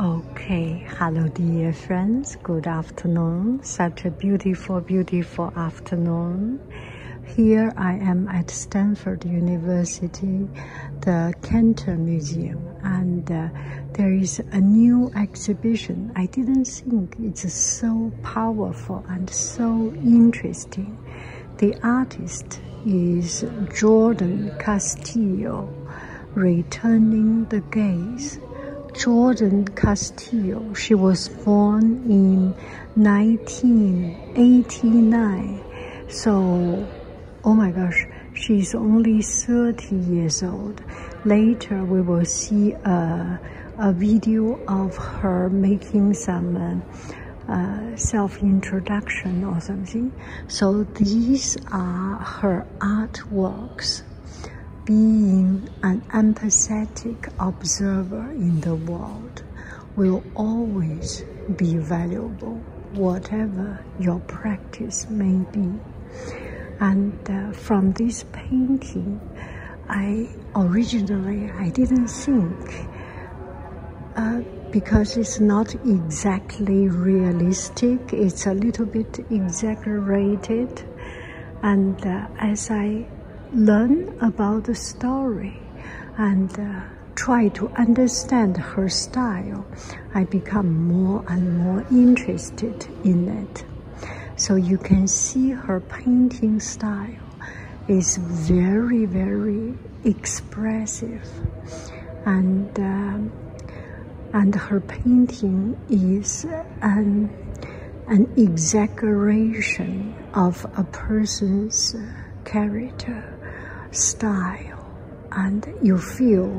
Okay, hello dear friends, good afternoon. Such a beautiful, beautiful afternoon. Here I am at Stanford University, the Cantor Museum, and uh, there is a new exhibition. I didn't think it's so powerful and so interesting. The artist is Jordan Castillo returning the gaze. Jordan Castillo. She was born in 1989. So, oh my gosh, she's only 30 years old. Later, we will see a, a video of her making some uh, self-introduction or something. So these are her artworks, being an empathetic observer in the world will always be valuable, whatever your practice may be. And uh, from this painting, I originally I didn't think uh, because it's not exactly realistic, it's a little bit exaggerated. And uh, as I learn about the story and uh, try to understand her style, I become more and more interested in it. So you can see her painting style is very, very exciting expressive and um, and her painting is an, um, an exaggeration of a person's character, style, and you feel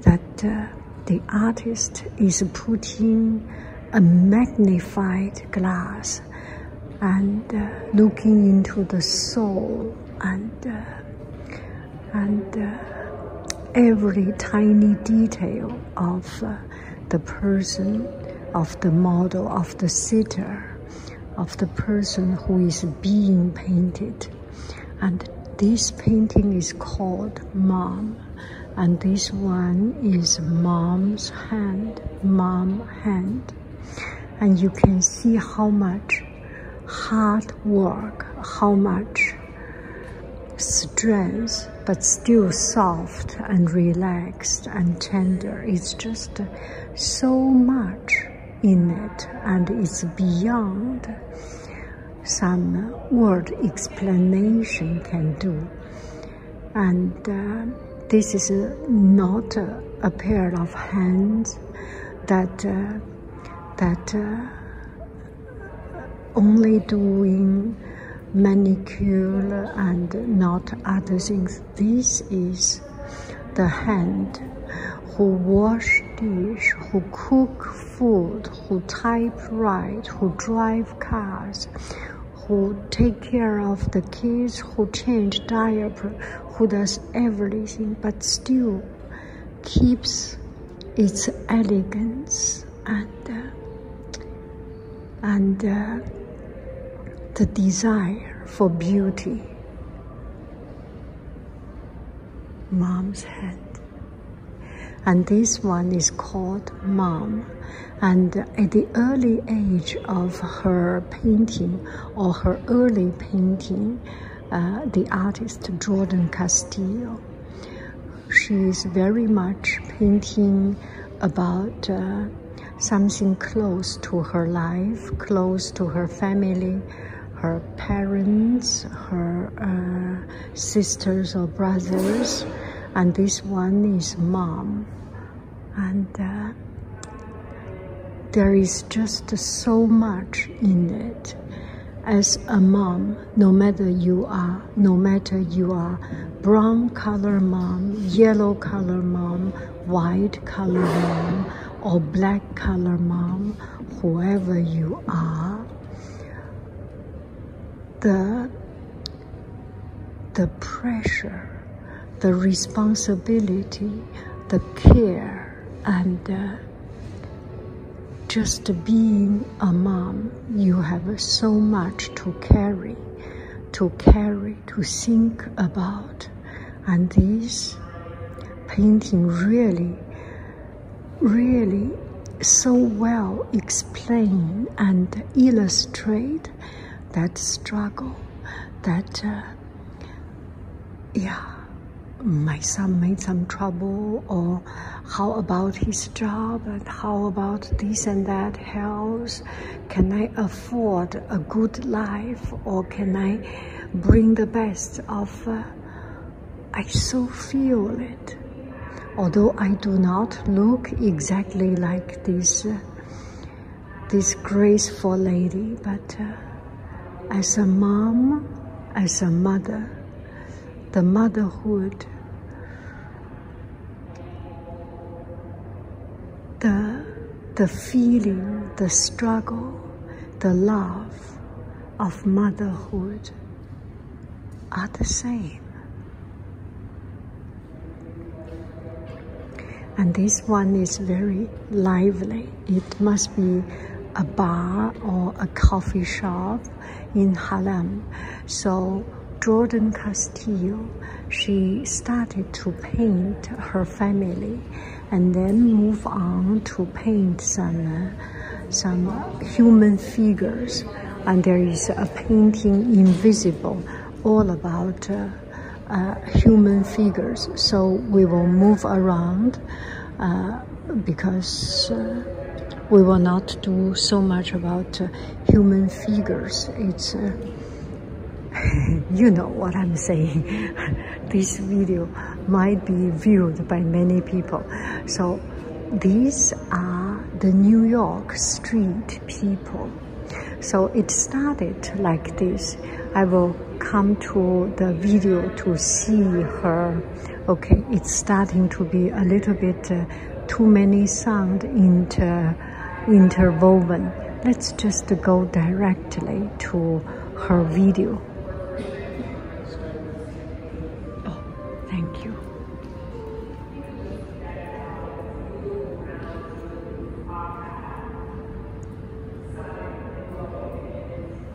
that uh, the artist is putting a magnified glass and uh, looking into the soul and uh, and uh, every tiny detail of uh, the person, of the model, of the sitter, of the person who is being painted. And this painting is called Mom. And this one is Mom's hand, Mom hand. And you can see how much hard work, how much strength, but still soft and relaxed and tender. It's just so much in it, and it's beyond some word explanation can do. And uh, this is not a, pair of hands that. Uh, that uh, only doing manicure and not other things. This is the hand who wash dish, who cook food, who typewrite, who drive cars, who take care of the kids, who change diaper, who does everything, but still keeps its elegance and uh, and uh, the desire for beauty. Mom's hand, and this one is called mom. And at the early age of her painting or her early painting. Uh, the artist Jordan Castillo. She is very much painting about uh, something close to her life, close to her family, her parents, her uh, sisters or brothers, and this one is mom. And there is just so much in it as a mom, no matter you are, no matter you are brown color mom, yellow color mom, white color mom, or black color mom, whoever you are, the, the pressure, the responsibility, the care, and just being a mom, you have so much to carry, to carry, to think about. And this painting really, really so well explain and illustrate that struggle, that uh, yeah, my son made some trouble, or how about his job, and how about this and that house? Can I afford a good life, or can I bring the best of? I so feel it. Although I do not look exactly like this, uh, this graceful lady, but. Uh, as a mom, as a mother, the motherhood, the, the feeling, the struggle, the love of motherhood are the same. And this one is very lively. It must be a bar or a coffee shop in Harlem. So Jordan Castillo, she started to paint her family and then move on to paint some, some human figures. And there is a painting, Invisible, all about uh, human figures. So we will move around. Uh, because uh, we will not do so much about uh, human figures. It's you know what I'm saying. this video might be viewed by many people. So these are the New York street people. So it started like this. I will come to the video to see her. Okay, it's starting to be a little bit uh, too many sound inter interwoven. Let's just go directly to her video. Oh, thank you.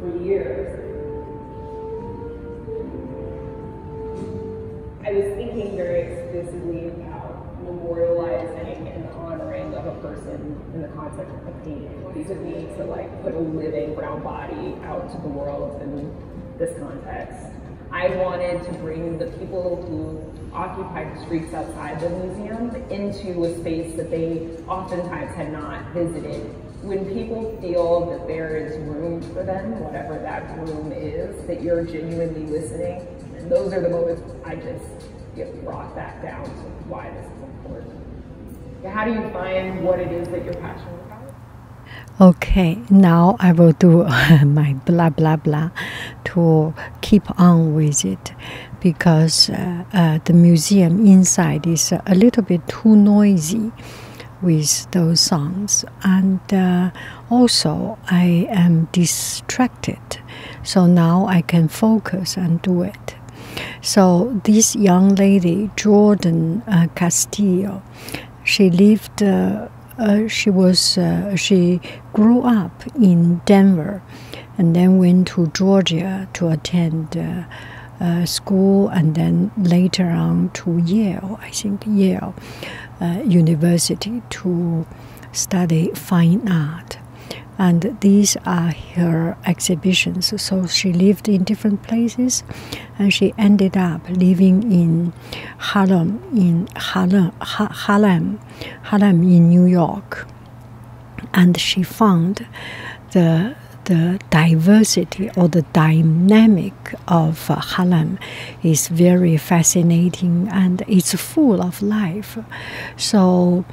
for years. I was thinking very explicitly about memorializing and honoring of a person in the context of painting. These are me to like put a living brown body out to the world in this context. I wanted to bring the people who occupied the streets outside the museum into a space that they oftentimes had not visited when people feel that there is room for them, whatever that room is, that you're genuinely listening, those are the moments I just get brought back down to why this is important. How do you find what it is that you're passionate about? Okay, now I will do my blah blah blah to keep on with it because uh, uh, the museum inside is a little bit too noisy with those songs, and uh, also I am distracted, so now I can focus and do it. So this young lady, Jordan uh, Castillo, she lived. Uh, she was she grew up in Denver, and then went to Georgia to attend. Uh, school and then later on to Yale, I think Yale uh, University to study fine art. And these are her exhibitions. So she lived in different places and she ended up living in Harlem, in Harlem, Harlem, Harlem in New York. And she found the the diversity or the dynamic of uh, Harlem is very fascinating and it's full of life. So,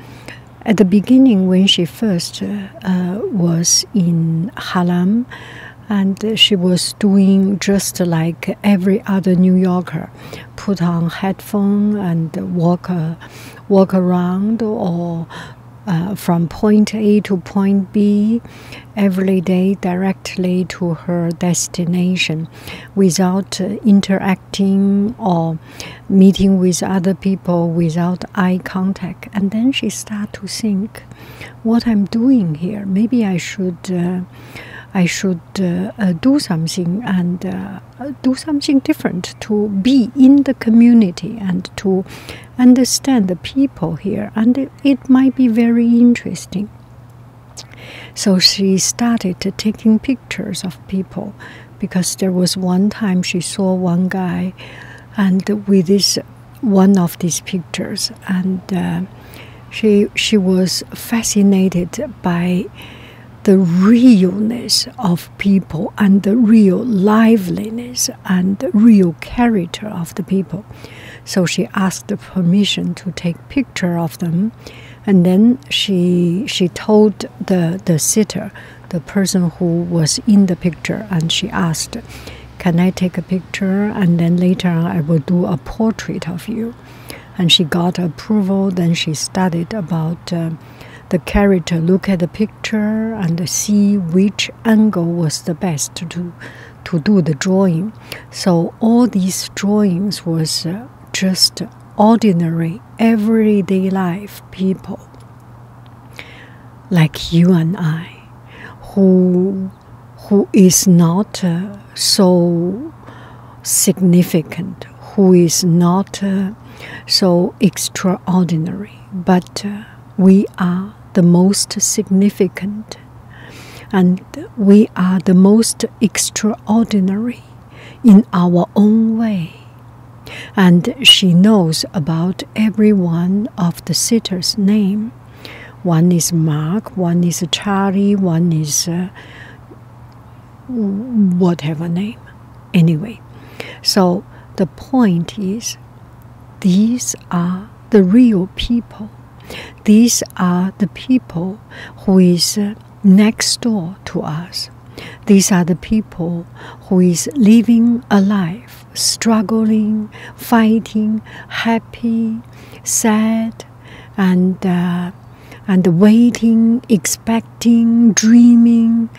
at the beginning, when she first uh, was in Harlem, and she was doing just like every other New Yorker, put on headphone and walk uh, walk around or uh, from point A to point B every day directly to her destination without interacting or meeting with other people without eye contact and then she start to think what i'm doing here maybe i should uh, i should uh, do something and do something different to be in the community and to understand the people here, and it might be very interesting. So she started taking pictures of people because there was one time she saw one guy and with this one of these pictures and uh, she she was fascinated by the realness of people and the real liveliness and the real character of the people. So she asked permission to take picture of them, and then she she told the the sitter, the person who was in the picture, and she asked, "Can I take a picture? And then later I will do a portrait of you." And she got approval. Then she studied about. Uh, the character, look at the picture and see which angle was the best to do, the drawing. So all these drawings was uh, just ordinary everyday life people like you and I who who is not uh, so significant who is not uh, so extraordinary but we are the most significant and we are the most extraordinary in our own way. And she knows about every one of the sitters' name. One is Mark, one is Charlie, one is uh, whatever name. Anyway, so the point is these are the real people. These are the people who is next door to us. These are the people who is living a life, struggling, fighting, happy, sad, and uh, and waiting, expecting, dreaming,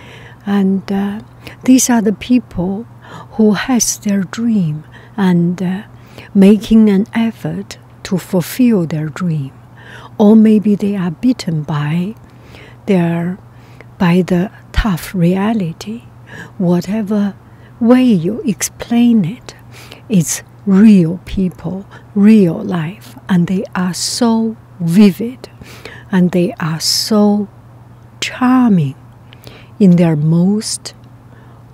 and uh, these are the people who has their dream and uh, making an effort to fulfill their dream or maybe they are beaten by their by the tough reality whatever way you explain it it's real people real life and they are so vivid and they are so charming in their most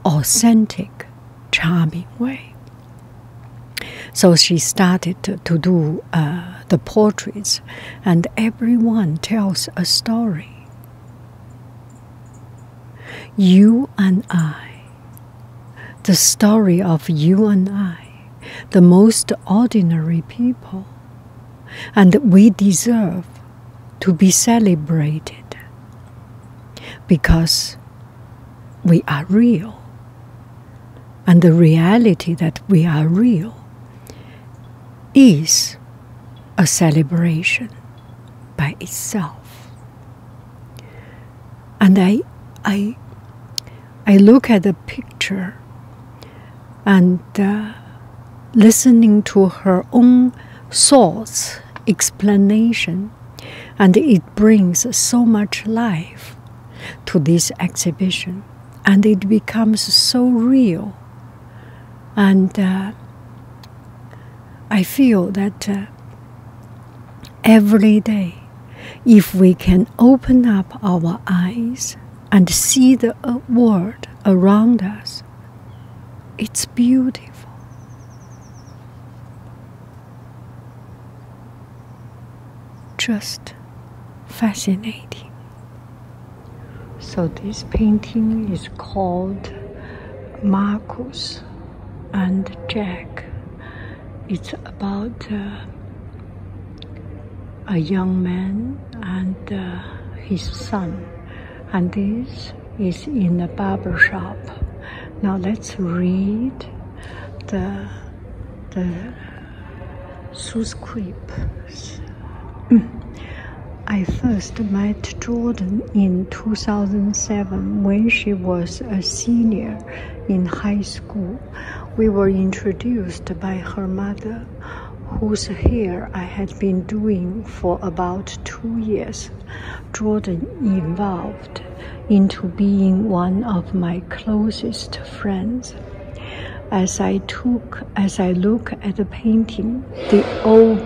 authentic, charming way. So she started to, do uh, the portraits, and everyone tells a story. You and I, the story of you and I, the most ordinary people and we deserve to be celebrated because we are real. And the reality that we are real is a celebration by itself. And I, I, I look at the picture and uh, listening to her own thoughts, explanation, and it brings so much life to this exhibition, and it becomes so real. And uh, I feel that uh, every day, if we can open up our eyes and see the world around us. It's beautiful. Just fascinating. So, this painting is called Marcus and Jack. It's about uh, a young man and uh, his son. And this is in a barber shop. Now let's read the, the subscript. I first met Jordan in 2007 when she was a senior in high school. We were introduced by her mother whose hair I had been doing for about two years, Jordan evolved into being one of my closest friends. As I took, as I look at the painting, the old,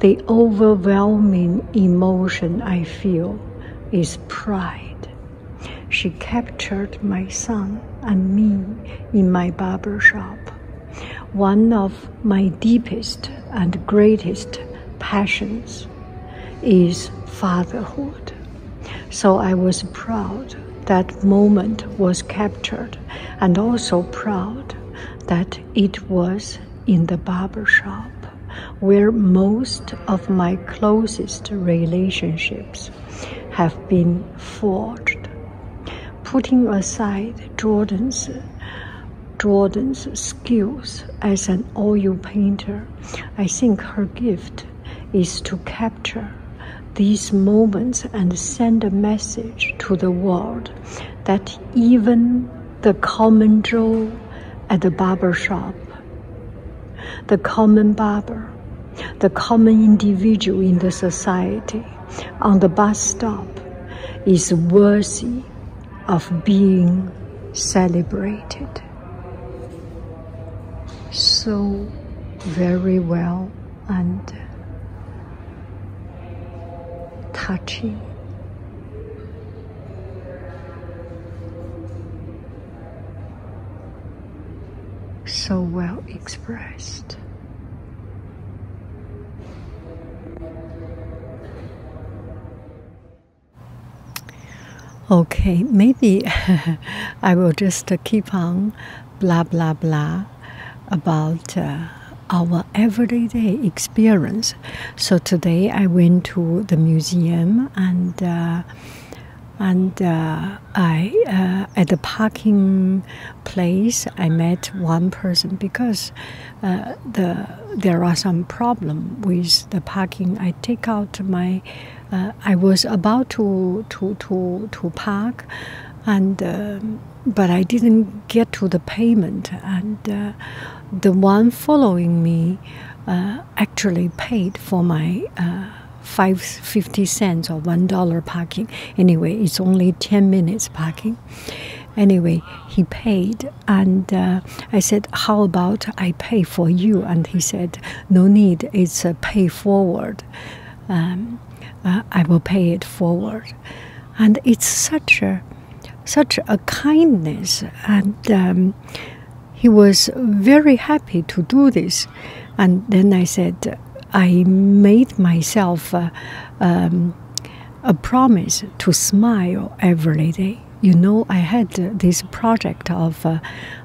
the overwhelming emotion I feel is pride. She captured my son and me in my barber shop. One of my deepest and greatest passions is fatherhood. So I was proud that moment was captured and also proud that it was in the barber shop where most of my closest relationships have been forged. Putting aside Jordan's Jordan's skills as an oil painter, I think her gift is to capture these moments and send a message to the world that even the common Joe at the barber shop, the common barber the common individual in the society on the bus stop is worthy of being celebrated. So very well and touching. So well expressed. Okay, maybe I will just keep on blah blah blah about uh, our everyday experience. So today I went to the museum and uh, and uh, I at the parking place, I met one person because uh, the there are some problem with the parking. I take out my, uh, I was about to to to to park, and uh, but I didn't get to the payment, and the one following me actually paid for my five fifty cents or one dollar parking. Anyway, it's only ten minutes parking. Anyway, he paid, and uh, I said, "How about I pay for you?" And he said, "No need. It's a pay forward. Um, uh, I will pay it forward." And it's such a, such a kindness, and um, he was very happy to do this. And then I said, I made myself uh, um, a promise to smile every day. You know, I had this project of, uh,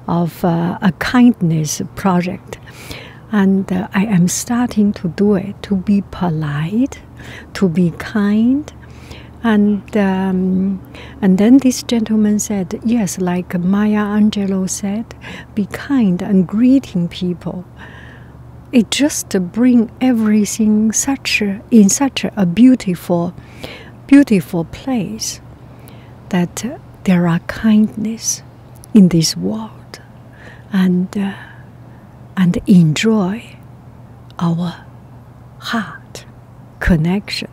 of uh, a kindness project, and I am starting to do it to be polite, to be kind, and um, and then this gentleman said, yes, like Maya Angelou said, be kind and greeting people. It just bring everything such in such a beautiful, beautiful place that there are kindness in this world, and uh, and enjoy our heart connection.